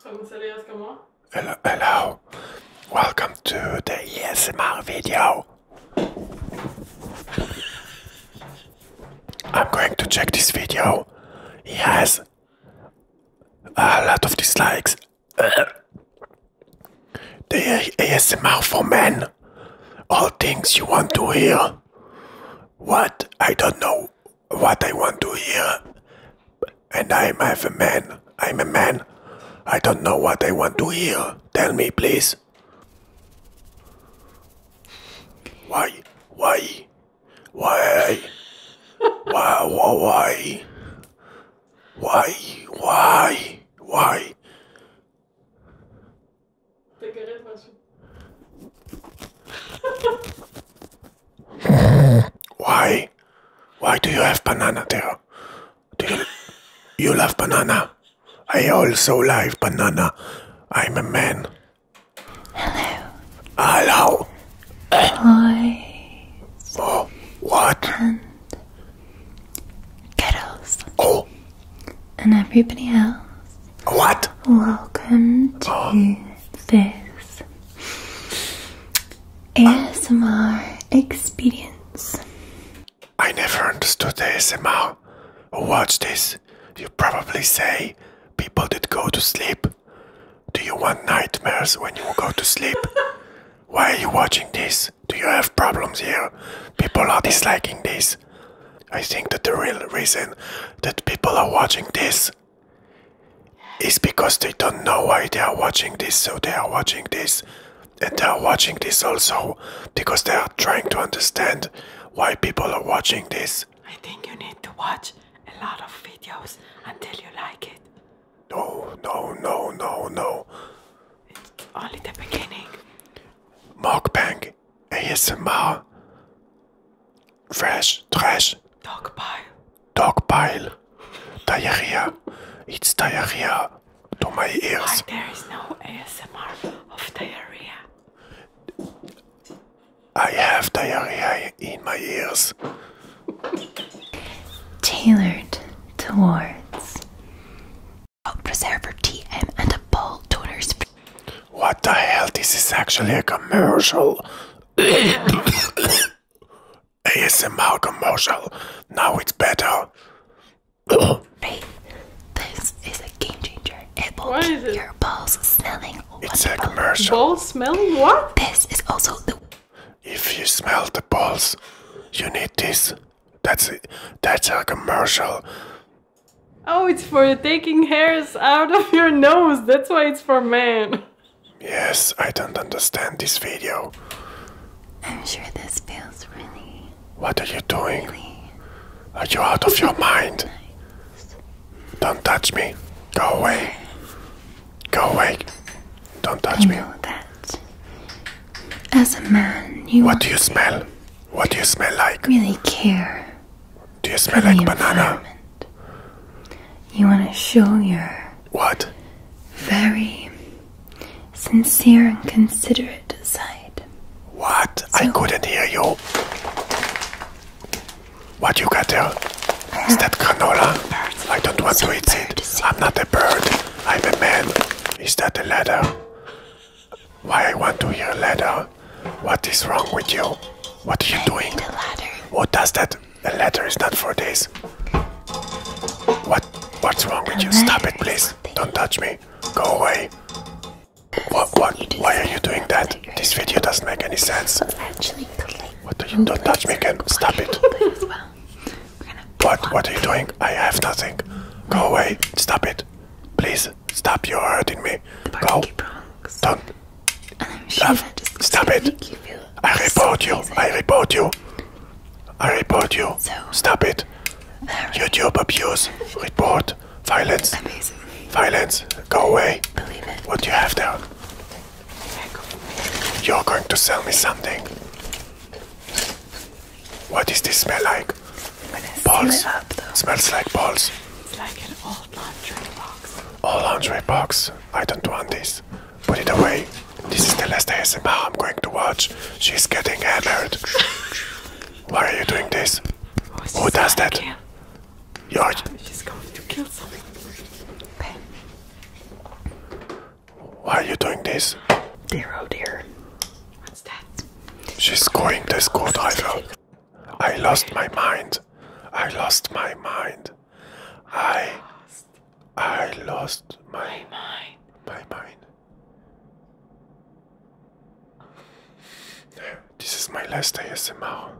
Hello, hello. Welcome to the ESMR video. I'm going to check this video. He has a lot of dislikes. the ASMR for men. All things you want to hear. What? I don't know what I want to hear. And I'm half a man. I'm a man. I don't know what I want to hear. Tell me, please. Why? Why? Why? why? Why? Why? Why? Why? Why? Why do you have banana there? Do you, you love banana? I also love banana. I'm a man. Hello. Hello. Hi. Oh, For what? And kettles. Oh. And everybody else. What? Welcome to this ASMR experience. I never understood ASMR. Watch this. You probably say people that go to sleep. Do you want nightmares when you go to sleep? Why are you watching this? Do you have problems here? People are disliking this. I think that the real reason that people are watching this is because they don't know why they are watching this, so they are watching this. And they are watching this also because they are trying to understand why people are watching this. I think you need to watch a lot of videos until you like it. No, no, no, no, no. It's only the beginning. Mukbang ASMR Fresh Trash Dogpile Dogpile Diarrhea It's diarrhea to my ears. there is no ASMR of diarrhea? I have diarrhea in my ears. Tailored towards. a preserver, tea, and a bowl donor's. What the hell? This is actually a commercial. ASMR commercial. Now it's better. Faith, this is a game changer. It will your balls smelling It's a commercial. Balls smelling what? This is also the. If you smell the balls, you need this. That's it. That's a commercial. Oh, it's for taking hairs out of your nose. That's why it's for men. Yes, I don't understand this video. I'm sure this feels really. What are you doing? are you out of your mind? Don't touch me. Go away. Go away. Don't touch me. As a man, you. What do you smell? What do you smell like? Really care. Do you smell like banana? You want to show your. What? Very sincere and considerate side. What? I couldn't hear you. What you got there? Uh, Is that canola? I don't want to eat it. I'm not a bird. I'm a man. Is that a ladder? Why I want to hear ladder? What is wrong with you? What are you doing? What does that? The ladder is not for this. What? What's wrong with you? Stop it, please. Don't touch me. Go away. What? What? Why are you doing that? This video doesn't make any sense. What are you? Don't touch me again. Stop it. What? What are you doing? I have nothing. Go away. Stop it. Please. Stop. You're hurting me. Go. Bronx. Don't. Sure Stop it. I report you. I report you. I report you. Stop it. YouTube abuse. Report. Violence. Violence. Go away. What do you have there? You're going to sell me something. What does this smell like? balls. Smells like balls. It's like an old laundry box. Old laundry box. I don't want this. Put it away. This is the last ASMR I'm going to watch. She's getting hammered. Why are you doing this? Who does that? You're. She's going to kill something. Why are you doing this? Dear oh dear. What's that? She's going to good, I I lost my mind. I lost my mind. I lost. I lost my, mind. My mind. This is my last day, ASMR.